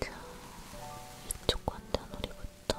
자, 이쪽 관자놀이부터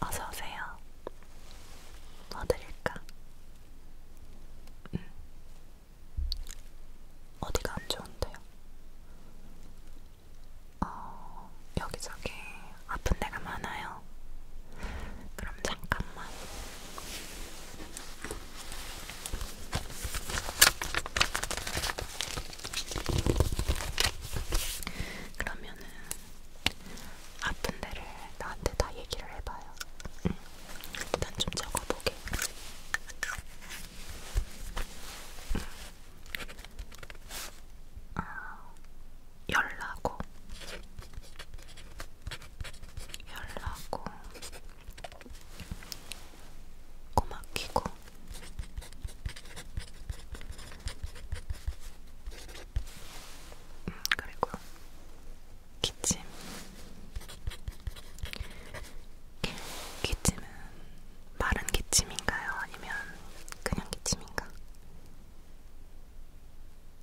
어서 오세요. 뭐 드릴까? 음. 어디가 안 좋은데요? 어, 여기저기 아픈 데가 많아요. 그럼 잠깐만. 그러면은 아픈 데를 나한테 다 얘기를 해봐요. 응. 일단 좀 적어보게. 응. 아, 열나고, 열나고, 고막히고, 음, 그리고 기침. 기침은 마른 기침인가요? 아니면 그냥 기침인가?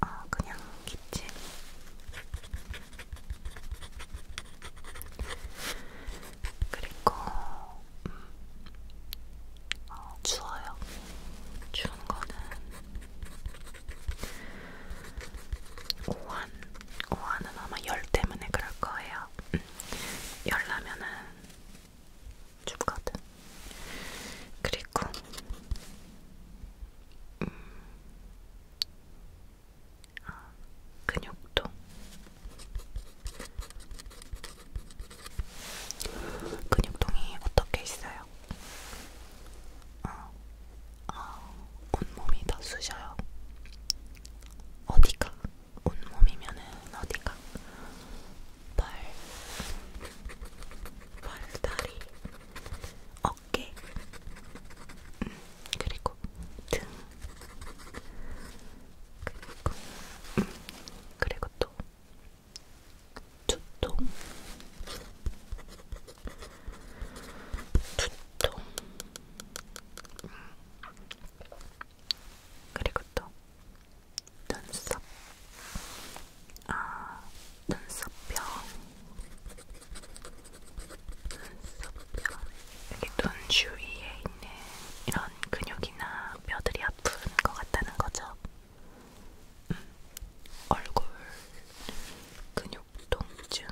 아, 어, 그냥 기침. 그리고 음, 어, 추워요. 추운 거는 오한, 오한은 아마 열 때문에 그럴 거예요. 음, 열 나면은 죽거든. 그리고 음, 어, 근육통 근육통이 어떻게 있어요? 어, 어, 온몸이 다 쑤셔요 어디가? 온몸이면은 어디가? 발, 발, 다리, 어깨, 음, 그리고 등 그리고, 그리고 또 두통, 두통, 그리고 또 눈썹, 아 눈썹병, 눈썹병. 여기 눈 주위에 있는 이런 근육이나 뼈들이 아픈 것 같다는 거죠. 음, 얼굴 근육 통증.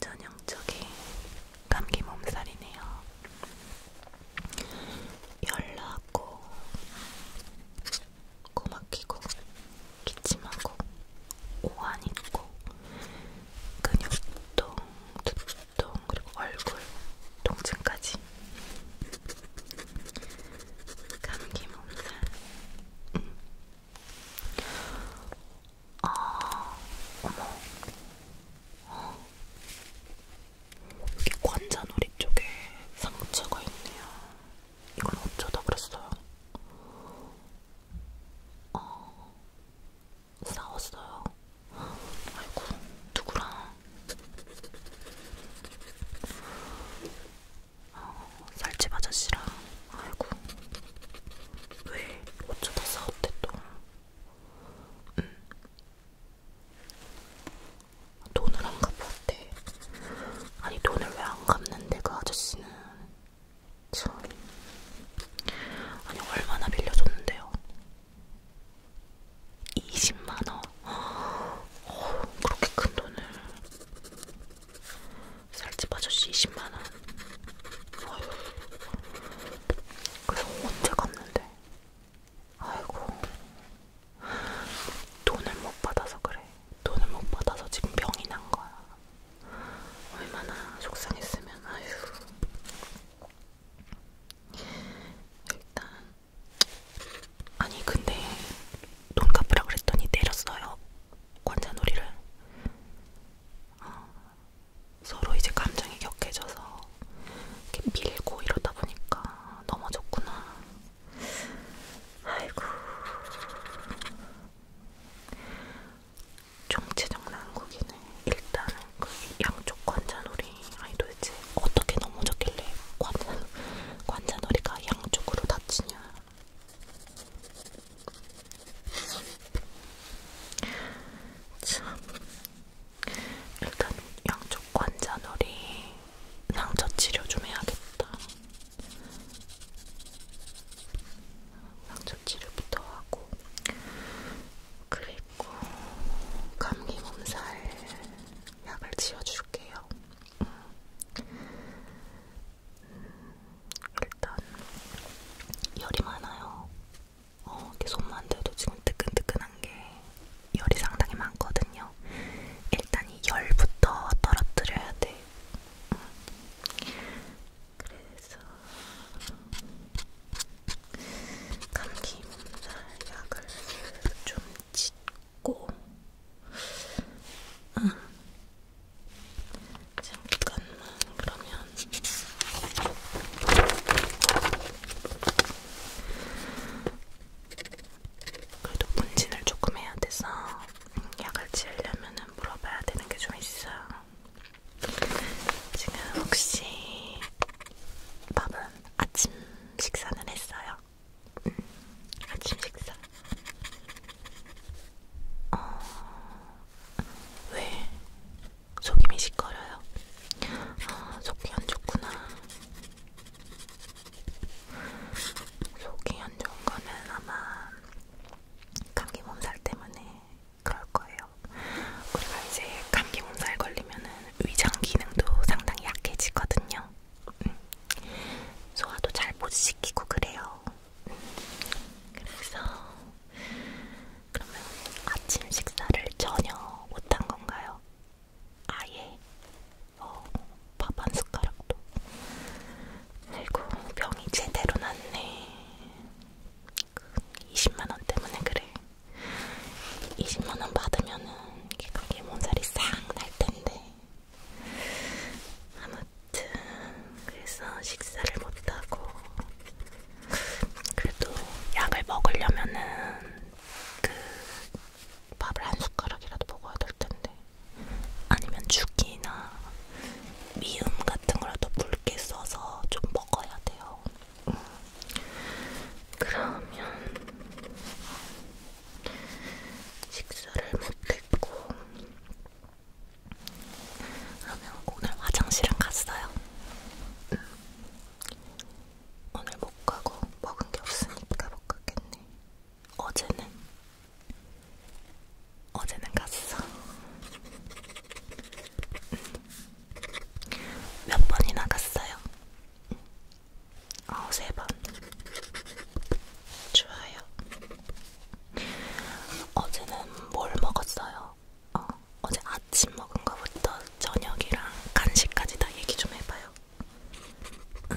전형적인 감기 몸살이네요. 열나고 코막히고 기침하고 오한 있고 근육통, 두통, 그리고 얼굴 통증까지 감기 몸살 음. 아, 어머 어. 이 관자놀이 쪽에 상처가 있네요. 이건 어쩌다 그랬어요. 어, 싸웠어요. 아이고, 누구랑? 어, 살집 아저씨랑. 아이고, 왜 어쩌다 싸웠대 또? 음. 돈을 안 갚았대. 아니 돈을 왜 안 갚는데 그 아저씨는 참. 아니, 얼마나 빌려줬는데요? 20만원? 어, 그렇게 큰 돈을. 살집 아저씨 20만원. 어휴. 그래서 언제 갔는데? 아이고. 돈을 못 받아서 그래. 돈을 못 받아서 지금 병이 난 거야. 얼마나 속상했으면 아휴 일단 아니 근데 돈 갚으라 그랬더니 때렸어요 관자놀이를 어, 서로 이제 감정이 격해져서 이렇게 밀고 이러다 보니까 넘어졌구나 아이고 정체정난국이네. 일단은 그 양쪽 관자놀이 아니 도대체 어떻게 넘어졌길래 관자, 관자놀이가 양쪽으로 다치냐. 참 일단 양쪽 관자놀이 상처 치료 좀 해야겠다. 방조치료부터 하고 그리고 감기 몸살 약을 지어줄게요. 음. 일단 열이 많아요. 어, 손만 대도 지금 뜨끈뜨끈한 게 열이 상당히 많거든요. 일단 이 열부터 떨어뜨려야 돼. 음. 그래서 감기 몸살 약을 좀 짓고 응. 잠깐만 그러면 그래도 분진을 조금 해야 돼서 약을 지으려면은 물어봐야 되는 게 좀 있어요. 지금 혹시 밥은 아침 식사는 했어요? 음, 아침 식사. 어, 왜 속이 미식거려요? 아, 속이 안 좋구나. 속이 안 좋은 거는 아마 감기 몸살 때문에 그럴 거예요. 우리가 이제 감기 몸살 걸리면은 위장 기능도 상당히 약해지거든요. 음. 소화도 잘 못 시키고 그래요. 음. 그래서 그러면 아침 식사를 전혀 못 한 건가요? 아예 어, 밥한 숟가락도 아이고 병이 제대로 났네. 20만원 때문에 그래. 20만원 받으면은 거기 몸살이 싹 날텐데. 아무튼 그래서 식사를 못하고 그래도 약을 먹으려면은 그 밥을 한 숟가락이라도 먹어야 될 텐데 아니면 죽이나 미음 같은 거라도 붉게 써서 좀 먹어야 돼요. 음. 그러면 식사를 못했고 그러면 오늘 화장실은 갔어요. 음. 오늘 못 가고 먹은 게 없으니까 못 갔겠네. 어제는 어제는 갔어. 음. 몇 번이나 갔어요? 어, 세 번. 좋아요. 어제는 뭘 먹었어요? 어, 어제 아침 먹은 거부터 저녁이랑 간식까지 다 얘기 좀 해봐요. 응. 음.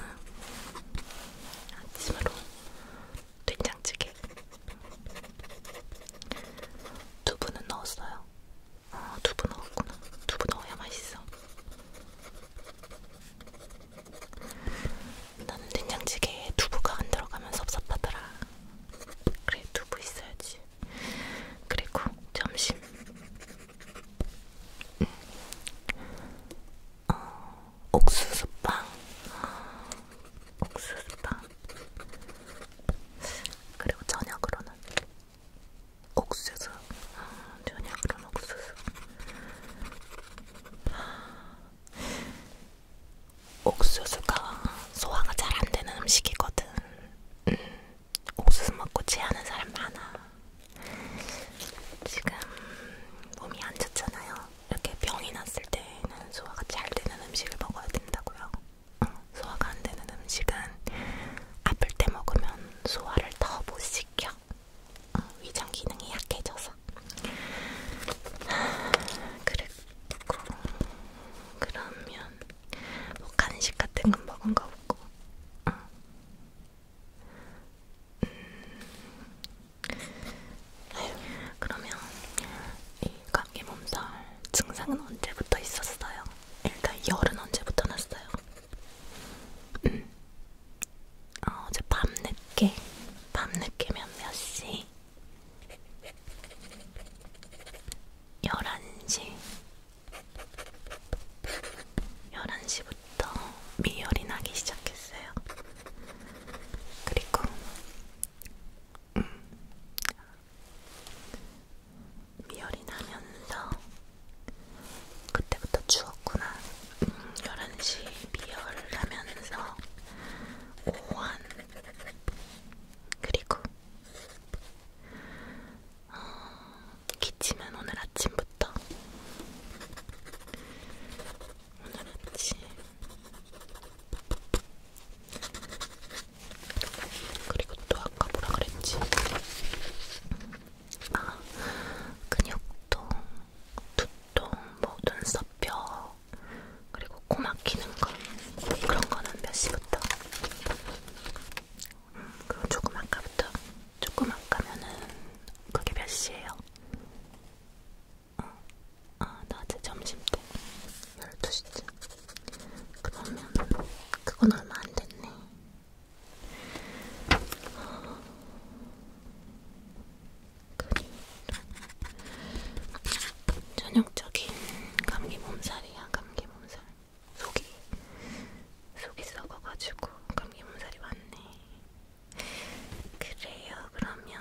아침으로 된장찌개. 두부는 넣었어요. 어, 두부 넣었구나. 두부 넣어야 맛있어. 나는 된장찌개에 두부가 안 들어가면 섭섭하더라. 그래, 두부 있어야지. 그리고 점심. 음. 어, 옥수수빵. 옥수수빵 그리고 저녁으로는 옥수수 아, 저녁으로는 옥수수 아, 옥수수가 소화가 잘 안 되는 음식이거든 음, 옥수수 먹고 취하는 사람 많아 지금 몸이 안 좋잖아요 이렇게 병이 났을 때는 소화가 잘 되는 음식을 먹어야 된다고요. 응, 소화가 안 되는 음식은 아플 때 먹으면 소화를 더 못 시켜. 응, 위장 기능이 약해져서. 그랬고 그러면 뭐 간식 같은 건 먹은 거 없고. 응. 음, 그러면 이 감기 몸살 증상은 언제부터 있었어요? 일단 열은 언제부터 났어요? 음. 어, 어제 밤늦게 밤늦게면 몇 시? 11시 11시부터 미열이 나기 시작했어요. 그리고 음. 미열이 나면서 그때부터 추웠구나. 음, 11시 미열을 나면서 오한 그리고 어, 기침은 오늘 아침부터 오늘 아침 그리고 또 아까 뭐라 그랬지? 아 근육통, 두통, 뭐 눈썹뼈 그리고 코 막히는 거 그런 거는 몇 시부터? 음, 그럼 조금 아까부터 조금 아까면은 그게 몇 시예요? 어, 아, 낮에 점심 때 12시쯤. 그러면 그건 얼마 안 됐네. 어, 전형적인 감기 몸살이야, 감기 몸살. 속이, 속이 썩어가지고 감기 몸살이 왔네. 그래요, 그러면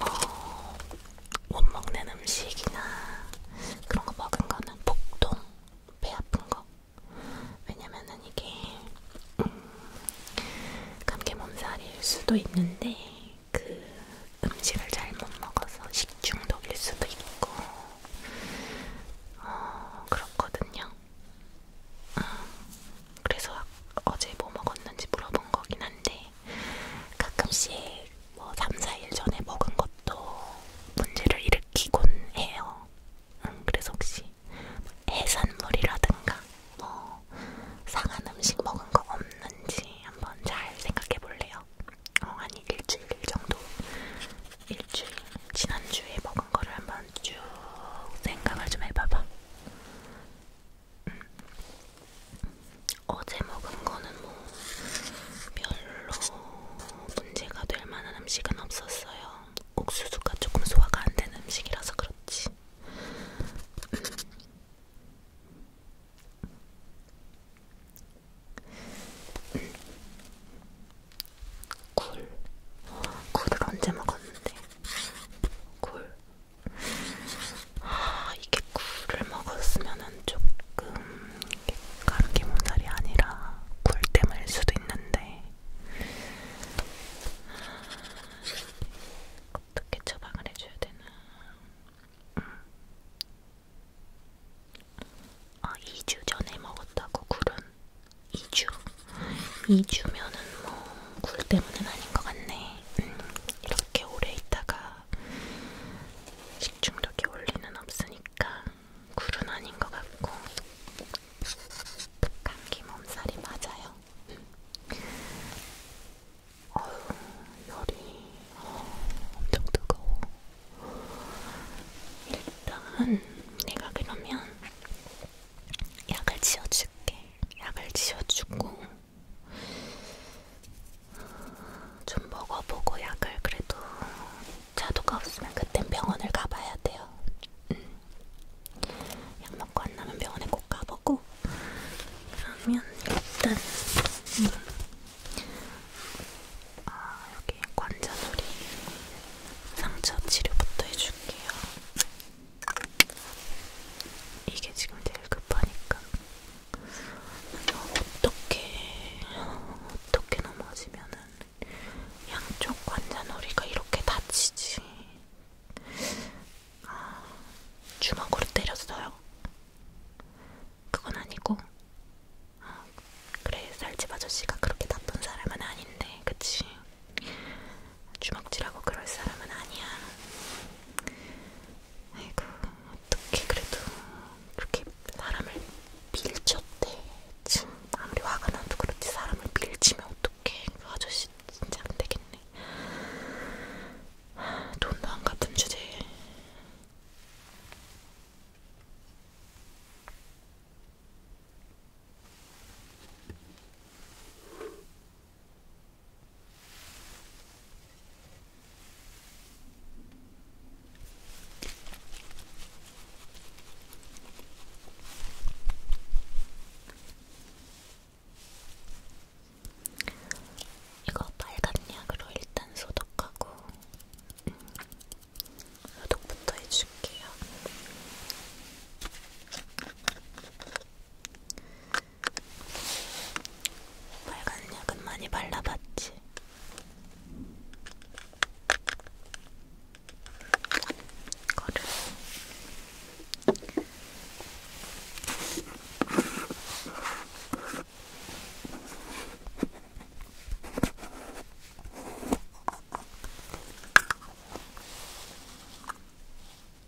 뭐, 못 먹는 음식이나 그런 거 먹은 거는 복통, 배 아픈 거. 왜냐면은 이게 음, 감기 몸살일 수도 있는데 그 음식을 잘 못 먹어서 식중독일 수도 있고 어, 그렇거든요. 그래서 어제 뭐 먹었는지 물어본 거긴 한데 가끔씩 뭐 3, 4일 전에 먹은 것도 문제를 일으키곤 해요. 음, 그래서 혹시 해산물이라든가 뭐 상한 음식 먹은 거 없는지 한번 잘 생각해 볼래요. 어, 한 일주일 정도 일주일 지난주에 먹은 거를 한번 쭉 생각을 좀 해봐봐. 어제 먹은 거는 뭐 별로 문제가 될 만한 음식은 없었어요. 옥수수가 조금 소화가 안 되는 음식이라서 그렇지. 굴. 굴을 언제 먹었는데? 굴. 아, 이게 굴을 먹었으면은 조금 감기 몸살이 아니라 굴 때문일 수도 있는데 어떻게 처방을 해줘야 되나? 음. 아, 2주 전에 먹었다고 굴은 2주. 2주면은 뭐 굴 때문은 아닌 것 같네. 음, 이렇게 오래 있다가 식중독이 올 리는 없으니까 굴은 아닌 것 같고 감기 몸살이 맞아요. 어휴, 열이 어, 엄청 뜨거워. 일단 내가 그러면 약을 지어줄게. 약을 지어주고 좀 먹어보고 약을 그래도 자도가 없으면 그땐 병원을 가봐야 돼요. 음. 약 먹고 안 나면 병원에 꼭 가보고 그러면 일단 음. 아, 여기 관자놀이 상처 치료부터 해줄게요. 이게 지금 제일 급하니까 어떻게 어떻게 넘어지면은 양쪽 관자놀이가 이렇게 다치지? 아, 주먹으로 때렸어요. 그건 아니고. 아, 그래, 살집 아저씨가 그렇게 나쁜 사람은 아닌데, 그치? 주먹질하고 그럴 사람은 아니야. 아이고, 어떻게 그래도 그렇게 사람을 밀쳤대. 참, 아무리 화가 나도 그렇지 사람을 밀치면 어떡해. 그 아저씨 진짜 안 되겠네. 돈도 안 갚은 주제에. 이거 빨간 약으로 일단 소독하고 음, 소독부터 해줄게요. 빨간 약은 많이 발라봤지. 거를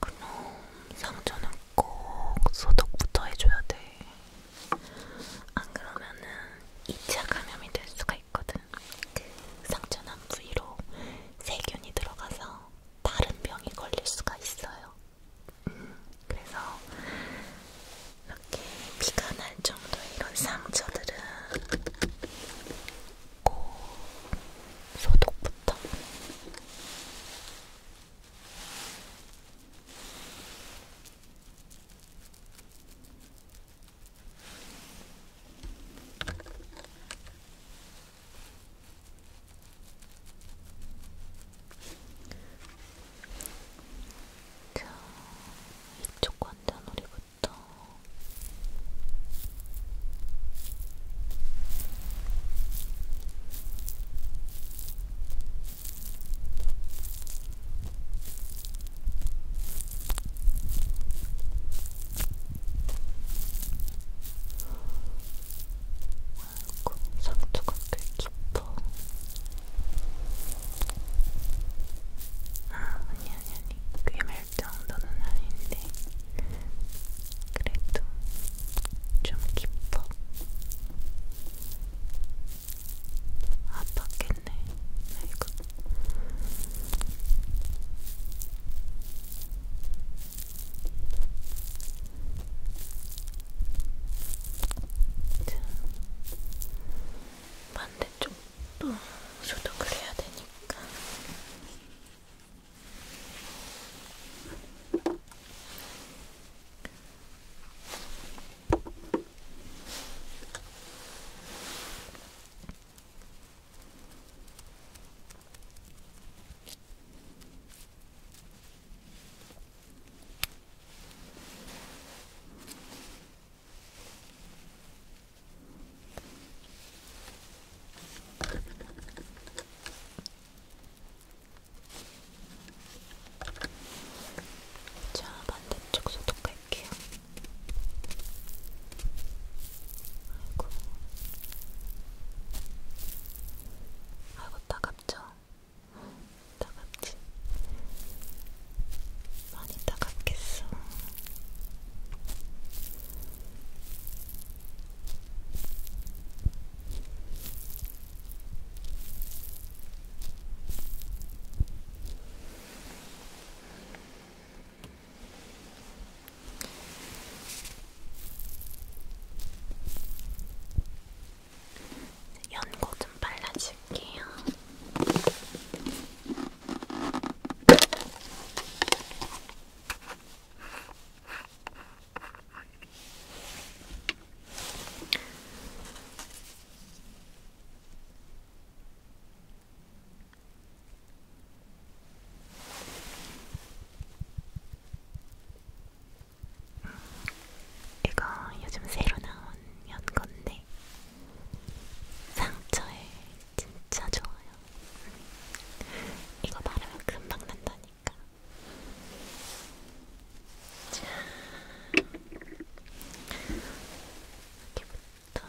그럼 상처는 꼭 소독부터 해줘야 돼. 안 그러면은 2차 감염이 될 수가 있거든. 그 상처난 부위로 세균이 들어가서 다른 병이 걸릴 수가 있어요. 음, 그래서 이렇게 피가 날 정도의 이런 상처들은 꼭 소독부터 자, 이쪽 관자놀이부터 아이고 상처가 꽤 깊어. 아, 아니, 아니, 아니. 괴멸 정도는 아닌데. 그래도 좀 깊어. 아팠겠네, 아이고. 자, 반대쪽도 소독을 해야 되니까. 자, 반대쪽 소독할게요. 아이고, 아이고 따갑죠? 따갑지? 많이 따갑겠어. 연고 좀 발라줄게요. 이거 요즘 새로 나온 연건데 상처에 진짜 좋아요. 이거 바르면 금방 난다니까. 자, 여기부터. 자,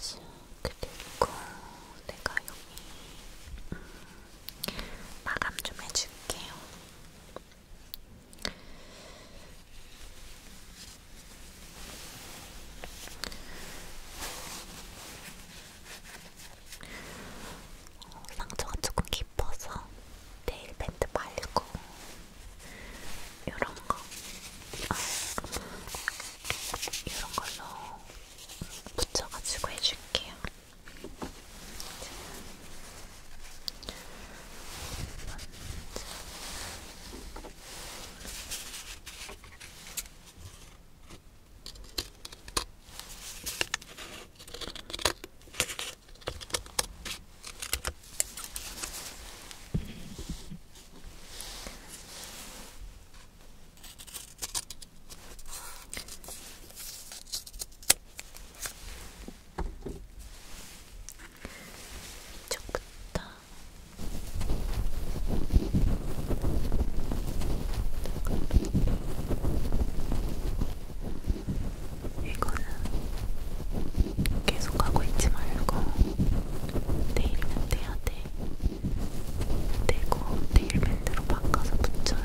자, 그리고 내가 여기 음, 마감 좀 해줄게요. 어, 상처가 조금 깊어서 네일 밴드 말고 이런 거, 아, 이런 걸로 붙여가지고 해줄게요. 먼저. 이쪽부터 이쪽으로 이거는 계속 하고 있지 말고 내일이면 떼야 돼. 떼고 내일 밴드로 바꿔서 붙여요.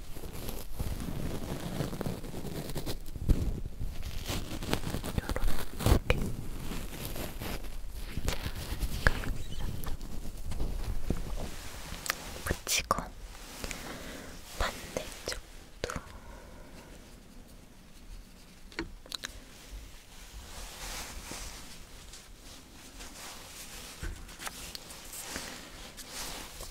요렇게 붙이고 반대쪽도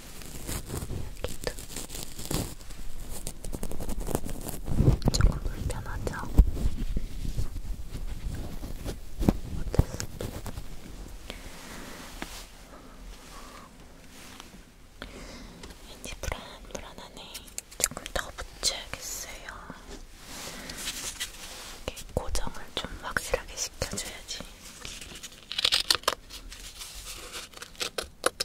여기도 조금 불편하죠? 어땠어? 왠지 불안, 불안하네. 조금 더 붙여야겠어요. 이렇게 고정을 좀 확실하게 시켜줘야지. 그래서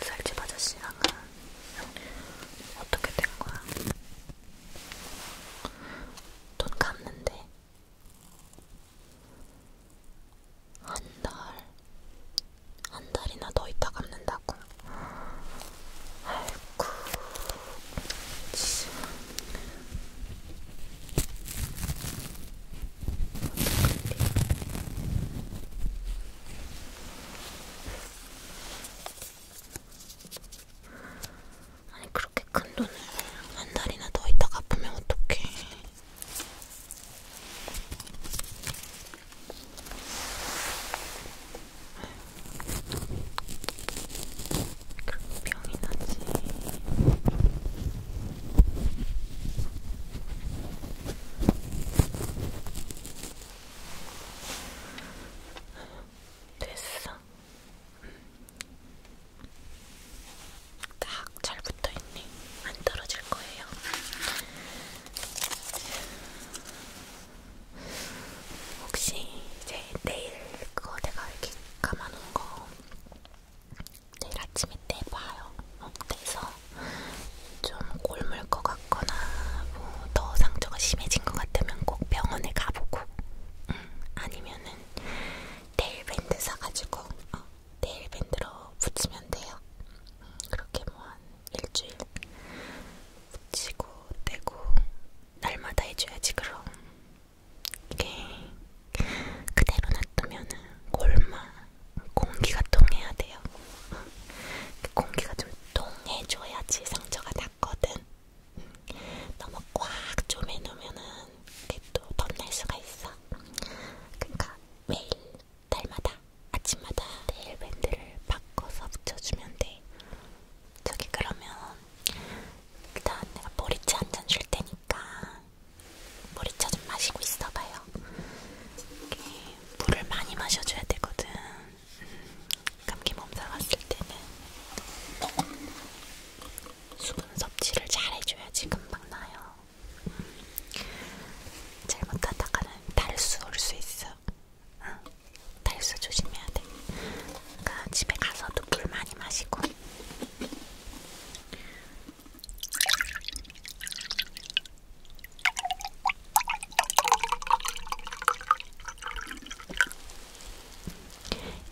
살집 아저씨랑은 어떻게 된 거야? 돈 갚는데 한 달, 한 달이나 더 있다 갚는다고. 아이고, 아니 그렇게 큰 돈을 한 달이나 더 있다가 아프면 어떡해. 병이 나지. 됐어. 딱 잘 붙어 있네. 안 떨어질 거예요. 혹시 이제 내일 그거 내가 이렇게 감아놓은 거 내일 아침에 떼봐요. 떼서 좀 골물 것 같거나 뭐 더 상처가 심해진 것 같으면 꼭 병원에 가보고 음, 아니면은 네일밴드 사가지고 어, 네일밴드로 붙이면 돼요. 음, 그렇게 뭐 한 일주일 붙이고 떼고 날마다 해줘야지 그럼. 이게 그대로 놔두면은 골마 공기가 통해야 돼요. 그 공기가 좀 통해줘야지 상처가 낫거든. 너무 꽉 좀 해놓으면은 그게 또 덧날 수가 있어. 그러니까 매일 달마다 아침마다 네일 밴드를 바꿔서 붙여주면 돼. 저기 그러면 일단 내가 보리차 한잔 줄 테니까 머리차 좀 마시고 있어봐요. 물을 많이 마셔줘야 되거든. 음, 감기 몸살 왔을 때는 수분 섭취를 잘 해줘야지 금방 나요. 음, 잘못하다가는 탈수 올 수 있어. 응, 탈수 조심해야 돼. 그러니까 집에 가서도 물 많이 마시고.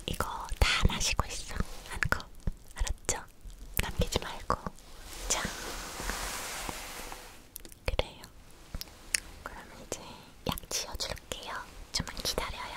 이거 다 마시고 있어. 한컵 알았죠? 남기지 말고. 자. 그래요. 그럼 이제 약 지어줄게요. 좀만 기다려요.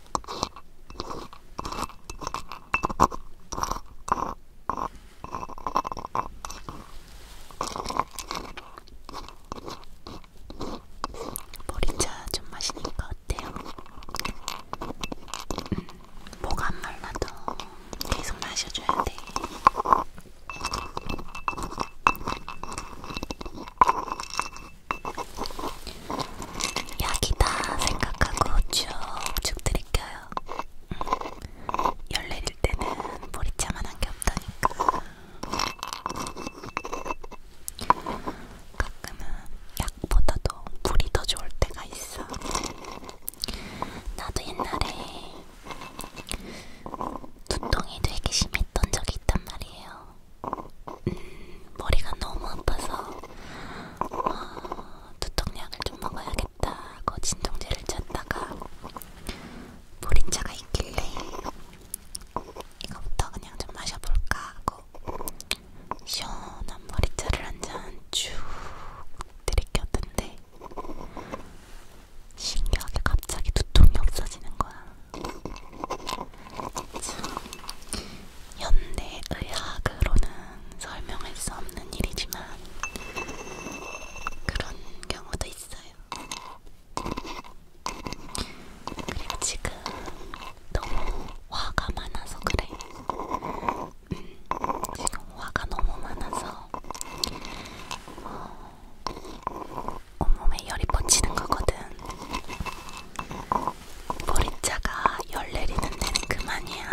머리차 좀 마시니까 어때요? 음, 뭐가 안 말라도 계속 마셔줘야 돼. 약이다 생각하고 쭉쭉 들이켜요. 열내릴 때는 보리차만 한 게 없다니까. 가끔은 약보다도 물이 더 좋을 때가 있어. 나도 옛날에 두통이 되게 심했던 적이 있단 말이에요. 음, 머리가 너무 아파서 어, 두통약을 좀 먹어야겠다고 진통제를 찾다가 보리차가 있길래 이거부터 그냥 좀 마셔볼까 하고 시원한 보리차를 한잔 쭉 들이켰는데 신기하게 갑자기 두통이 없어지는 거야. 현대의학으로는 설명할 수 없는 일이지만 그런 경우도 있어요. 그리고 지금 너무 화가 많아서 그래. 음, 지금 화가 너무 많아서 어, 온몸에 열이 뻗치는 거거든. 보리차가 열 내리는 데는 그만이야.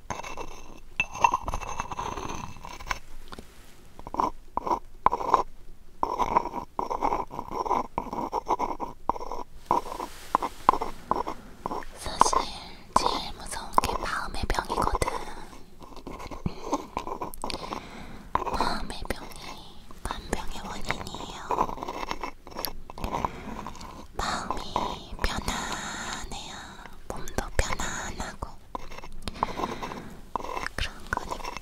사실 제일 무서운 게 마음의 병이거든. 마음의 병이 만병의 원인이에요. 마음이 편안해요. 몸도 편안하고 그런 거니까.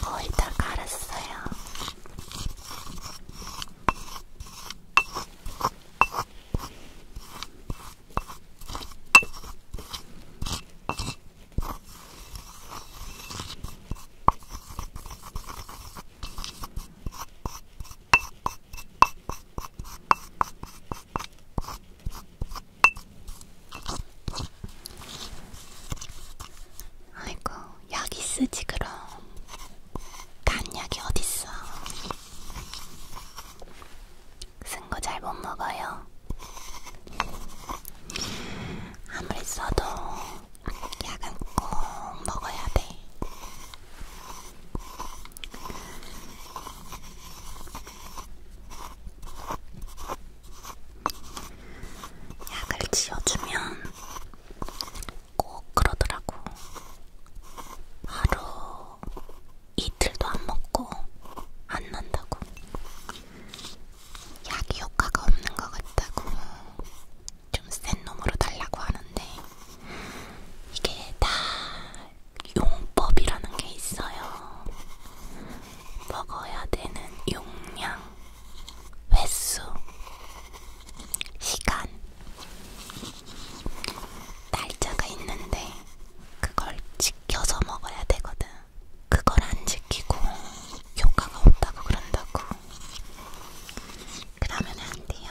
거의 다 갈았어요. 아이고 약이 쓰지 그럼 간약이 어딨어 쓴 거 잘 못 먹어요 아무리 써도 약은 꼭 먹어야 돼 약을 지어주면 꼭 그러더라고. 하루 이틀도 안 먹고 안 난다고. 약이 효과가 없는 것 같다고 좀 센 놈으로 달라고 하는데 이게 다 용법이라는 게 있어요. 먹어야 되는 용량, 횟수, 시간, 날짜가 있는데 그걸 지켜서 먹어야 되거든. 그걸 안 지키고 효과가 없다고 그런다고. 그러면 안 돼요.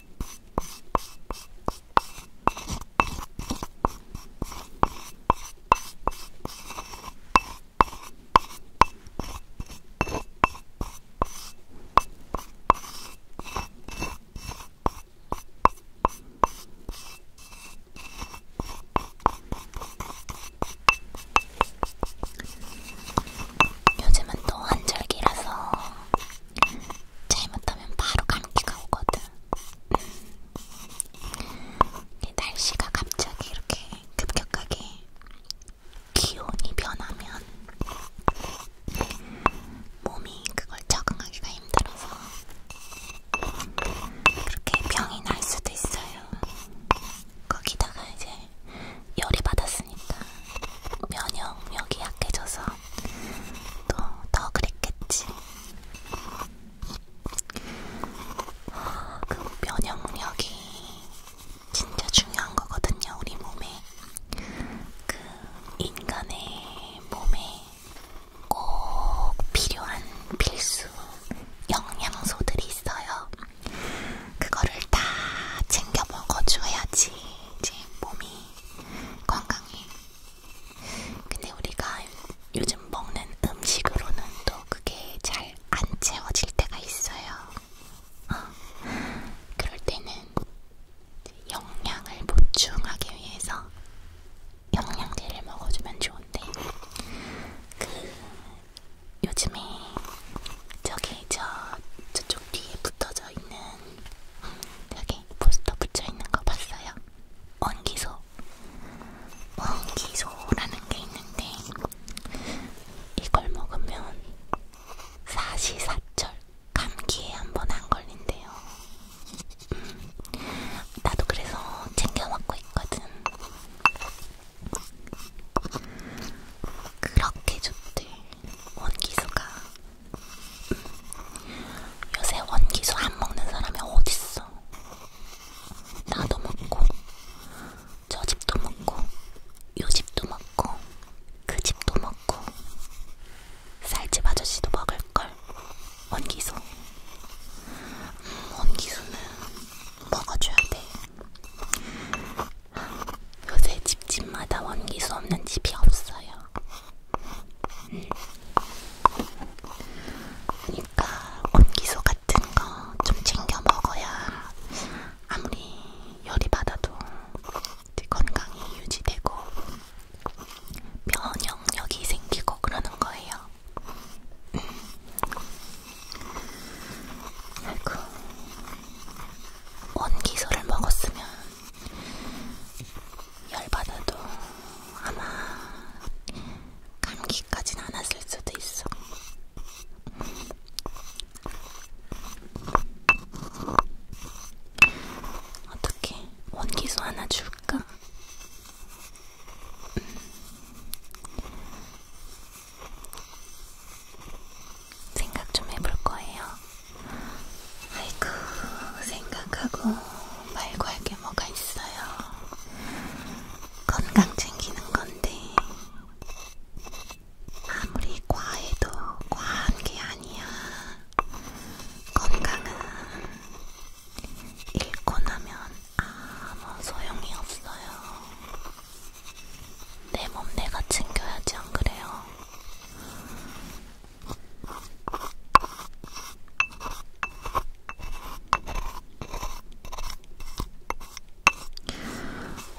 요즘은 또 환절기라서 잘못하면 바로 감기가 오거든. 날씨가 갑자기 이렇게 급격하게 기온이 변하면 몸이 그걸 적응하기가 힘들어서 그렇게 병이 날 수도 있어요. 거기다가 이제 열이 받았으니까 면역력이 약해져서 또더 그랬겠지. 아, 그 면역력이 진짜 중요한 거거든요, 우리 몸에. 그 인간의 몸에 꼭 필요한 필수 영양소들이 있어요. 그거를 다 챙겨 먹어줘야지 이제 몸이 건강해. 근데 우리가 요즘 먹는 음식으로는 또 그게 잘 안 채워질 때가 있어요. 어. 그럴 때는 영양을 보충하기 위해서 영양제를 먹어주면 좋은데 그 요즘에 저기 저 저쪽 뒤에 붙어져 있는 여기 음, 포스터 붙여 있는 거 봤어요. 있습니다. 원기소. 원기소라는 게 있는데 이걸 먹으면 사시사철 감기에 한 번 안 걸린대요. 음, 나도 그래서 챙겨 먹고 있거든. 그렇게 좋대 원기소가. 요새 원기수 안 먹는 사람이 어딨어? 나도 먹고, 저 집도 먹고, 요 집도 먹고, 그 집도 먹고, 쌀집 아저씨도 먹을걸. 원기수. 음, 원기수는 먹어줘야 돼. 요새 집집마다 원기수 없는 집이 없어요. 음. 그러니까 곤기소 같은 거 좀 챙겨 먹어야 아무리 열이 받아도 건강이 유지되고 면역력이 생기고 그러는 거예요. 음. 아이고, 온기소를 먹었으면 열받아도 아마 감기까진 않았을 수도 있어. 어떻게 원기수 하나 줄까? 생각 좀 해볼 거예요. 아이고, 생각하고 말고 할게 뭐가 있어요. 건강 챙기는 건데 아무리 과해도 과한 게 아니야. 건강은 잃고 나면 아무 소용이 없어요. 내 몸 내가 챙겨야지 안 그래요?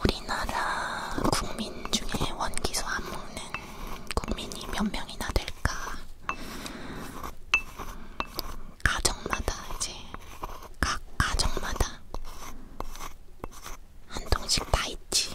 우리나라 국민 중에 원기소 안 먹는 국민이 몇 명이나 될까? 가정마다 이제 각 가정마다 한 통씩 다 있지.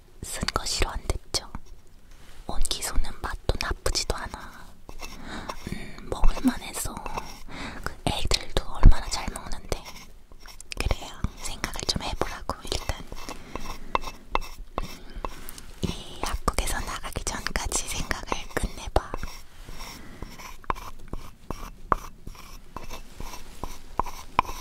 쓴거 싫어한댔죠. 온기소는 맛도 나쁘지도 않아. 음, 먹을만해서 그 애들도 얼마나 잘 먹는데. 그래요. 생각을 좀 해보라고 일단. 음, 이 약국에서 나가기 전까지 생각을 끝내봐.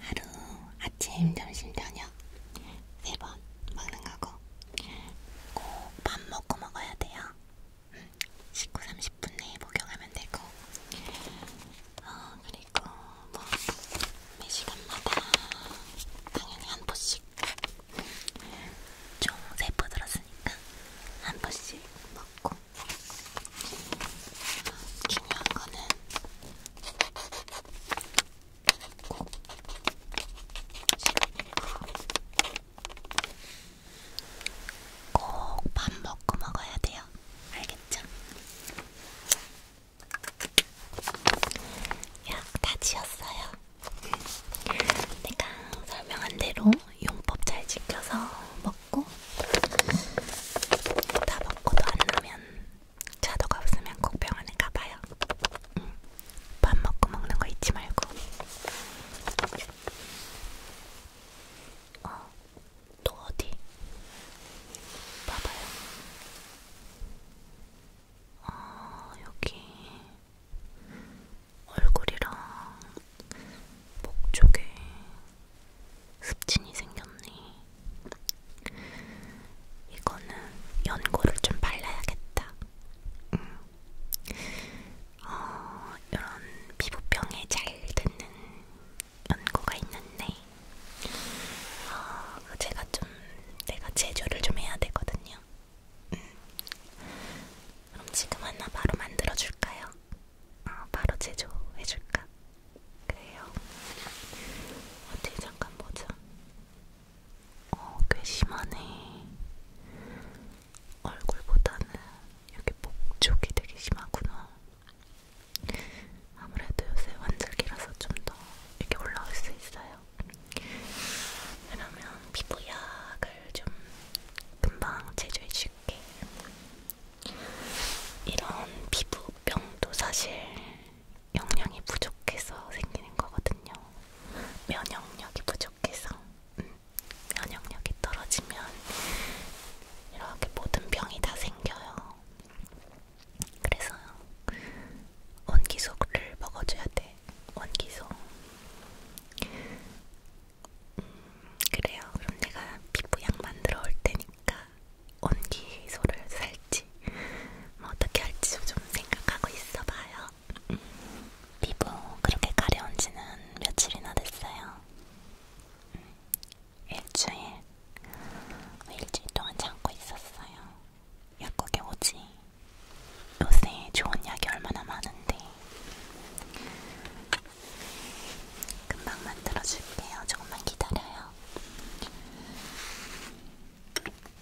하루 아침 점심 저녁 세 번 먹는 거고 꼭밥 먹고 먹어야 돼요. 음, 식후 30분 내에 복용하면 되고, 어, 그리고 뭐, 매 시간마다 당연히 한 포씩, 총 3포 들었으니까 한 포씩 먹고, 어, 중요한 거는 꼭밥 먹고 먹어야 돼요. 알겠죠? 야, 다 지었어요. 내가 설명한 대로 용법 잘 지켜서 먹고 다 먹고도 안 나면 자도가 없으면 꼭 병원에 가봐요. 응. 밥 먹고 먹는 거 잊지 말고. 어, 또 어디? 봐봐요. 아, 어, 여기 얼굴이랑 목 쪽에 습진이 생겼네. 이거는 연고를 좀 발라야겠다. 음. 어, 이런 피부병에 잘 듣는 연고가 있는데 어, 제가 좀 내가 제조를 좀 해야 되거든요. 음. 그럼 지금 하나 바로 만들어 줄까요? 어, 바로 제조해 줄까? 그래요. 어디 잠깐 보자. 어, 꽤 심하네. 얼굴보다는 여기 목 쪽이 되게 심하구나. 아무래도 요새 환절기라서 좀 더 이렇게 올라올 수 있어요. 그러면 피부약을 좀 금방 제조해줄게. 이런 피부병도 사실 영양이 부족해서 생기는 거거든요. 면역력이 부족해서 음, 면역력이 떨어지면 이렇게 모든 병이 다 생겨요. 그래서 원기소를 먹어줘야 돼. 원기소. 음, 그래요. 그럼 내가 피부약 만들어 올 테니까 원기소를 살지 뭐 어떻게 할지 좀 생각하고 있어봐요. 피부 그렇게 가려운 지는 며칠이나 됐어요. 음, 일주일, 뭐 일주일 동안 참고 있었어요. 약국에 오지. 요새 좋은 약이 얼마나 많은데. 금방 만들어줄게요. 조금만 기다려요.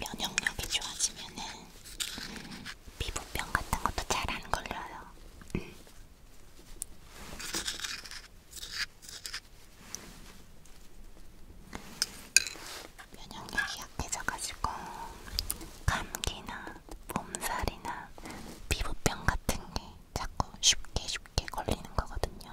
면역력이 좋아지면은 피부병 같은 것도 잘 안 걸려요. 면역력이 약해져가지고 감기나 몸살이나 피부병 같은 게 자꾸 쉽게 쉽게 걸리는 거거든요.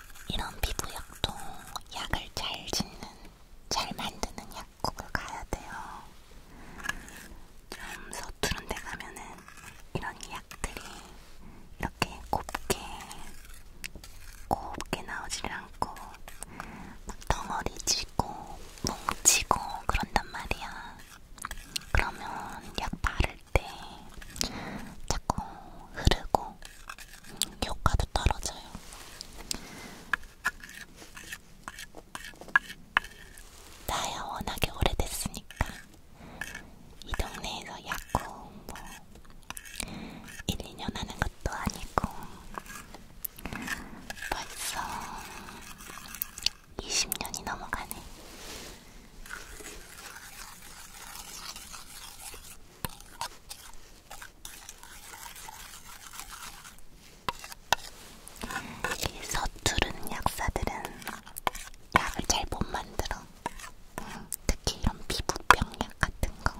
이런 피부약도 약을 잘 짓는, 잘 만드는 약국을 가야 돼요. 좀 서투른 데 가면은 이런 약들이 이렇게 곱게, 곱게 나오질 않고 막 덩어리 지고, 뭉치고 그런단 말이야. 그러면 약 바를 때 자꾸 흐르고 효과도 떨어져요. 나야 워낙에 오래됐으니까 이 동네에서 약국 뭐 1, 2년 하는 것도 아니고 벌써 20년이 넘어가네. 이 서투른 약사들은 약을 잘 못 만들어. 응, 음, 특히 이런 피부병약 같은 거.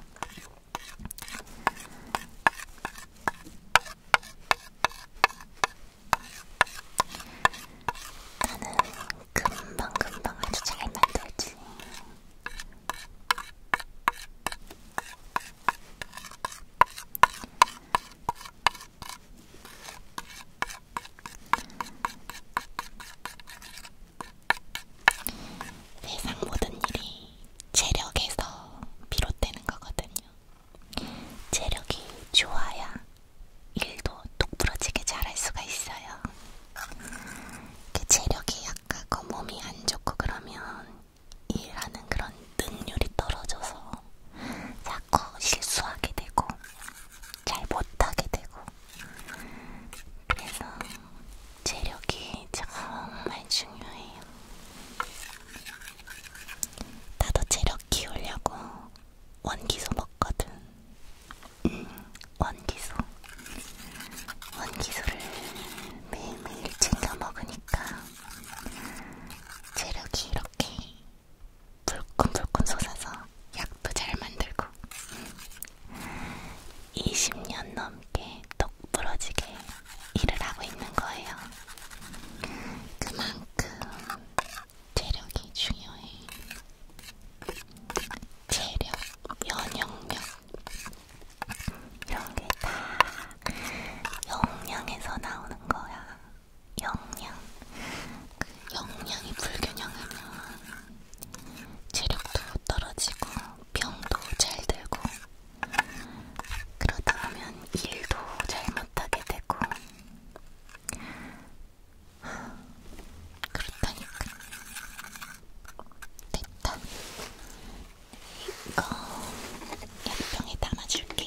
나는 금방금방 아주 잘 만들지. 세상 모든 일이 체력에서 비롯되는 거거든요. 체력이 좋아야 일도 똑부러지게 잘할 수가 있어요. 그 체력이 약하고 몸이 안 좋고 그러면 일하는 그런 능률이 떨어져서 자꾸 실수하게 되고 잘 못하게 되고 그래서 체력이 정말 중요해요. 나도 체력 키우려고 원기소 먹거든. 응, 원기소. 원기소를 매일매일 챙겨 먹으니까 체력이 이렇게 불끈불끈 솟아서 약도 잘 만들고 20년 넘게 똑부러지게 일을 하고 있는 거예요. 그만큼 체력이 중요해. 체력, 면역력, 여기 다 영양에서 나오는 거야. 영양. 그 영양이 불균형하면 체력도 떨어지고 병도 잘 들고 그러다 보면 일도 잘 못하게 되고 그렇다니까. 됐다. 이거 약병에 담아줄게요.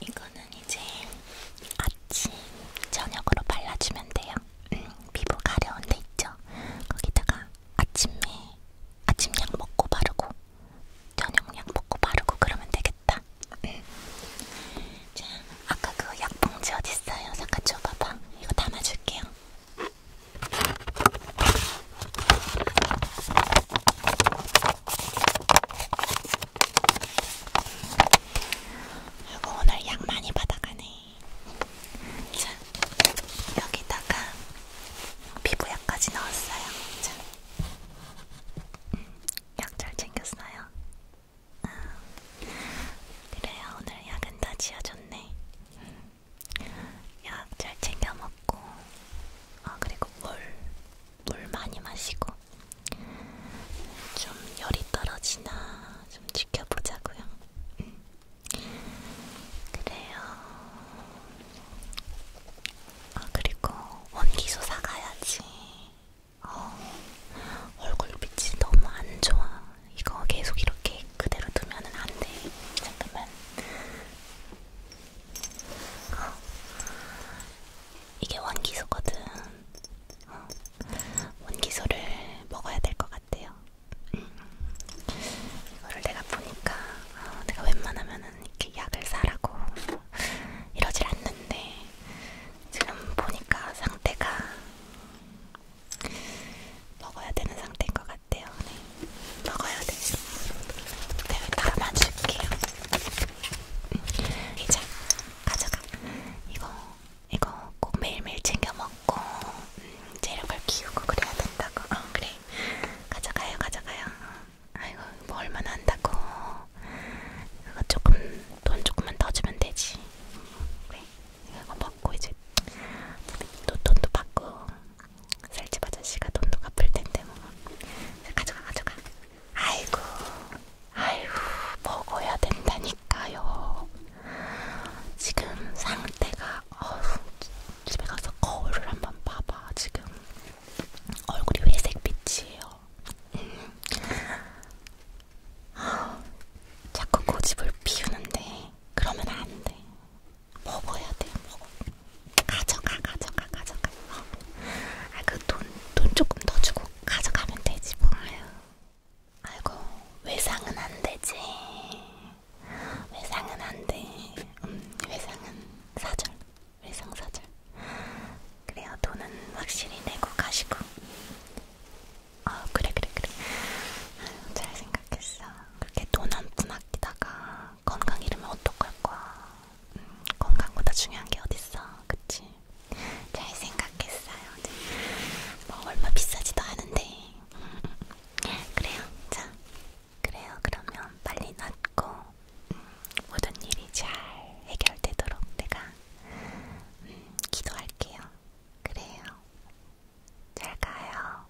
이거는 이제 아침, 저녁으로 발라주면 돼요. 음, 피부 가려운 데 있죠? 거기다가 아침에 아침약 먹고 바르고 저녁약 먹고 바르고 그러면 되겠다. 음. 자, 아까 그 약봉지 어딨어요? 잠깐 줘봐봐. 이거 담아줄게요. 아이고 오늘 양 많이 받아가네. 자 여기다가 피부약까지 넣었어요. 자 음, 약잘 챙겼어요. 아, 그래요 오늘 약은 다 지어줬네. 음. 약잘 챙겨 먹고, 아 그리고 물, 물 많이 마시고, 좀 열이 떨어지나 좀 지켜보자고요. 음. 그래요. 아 그리고 원기소 사가야지. 어, 얼굴빛이 너무 안 좋아. 이거 계속 이렇게 그대로 두면은 안 돼. 잠깐만. 어. 이게 원기소거든. 어. 원기소를 먹어야 될 것 같아요. 음. 이거를 내가 보니까 어, 내가 웬만하면은 이렇게 약을 사라고 이러질 않는데 지금 보니까 상태가 먹어야 되는 상태인 것 같아요. 같아요. 네. 먹어야 돼. 내가 담아줄게요. 음, 이제 가져가. 이거 이거 꼭 매일매일 챙겨 먹고 음, 체력을 키우고 그래야 된다고. 어, 그래. 가져가요, 가져가요. 아이고 뭐 얼마나 한다고. 그거 조금 돈 조금만 더 주면 되지. 그래. 이거 먹고 이제. 또 돈도 받고 살집 아저씨가 돈도 갚을 텐데 뭐 가져가 가져가 아이고 아이고 먹어야 된다니까요 지금 상태가 어휴 집에 가서 거울을 한번 봐봐 지금 얼굴이 회색빛이에요 음. 자꾸 고집을 피우는데 그러면 안돼 먹어야 돼 먹어. 가져가 가져가 가져가. 어. 아, 아그돈돈 돈 조금 더 주고 가져가면 되지 뭐. 아유. 아이고 외상은 안 되지. 외상은 안 돼. 음 외상은 사절. 외상 사절. 그래요 돈은 확실히 내고 가시고. 아 어, 그래 그래 그래. 아유, 잘 생각했어. 그렇게 돈한푼 아끼다가 건강 잃으면 어떡할 거야. 음, 건강보다 중요한 게 어딨어, 그치? 잘 생각했어요. 네. 뭐 얼마 비싸지도 않은데. 음, 그래요, 자, 그래요. 그러면 빨리 낫고 음, 모든 일이 잘 해결되도록 내가 음, 기도할게요. 그래요. 잘 가요.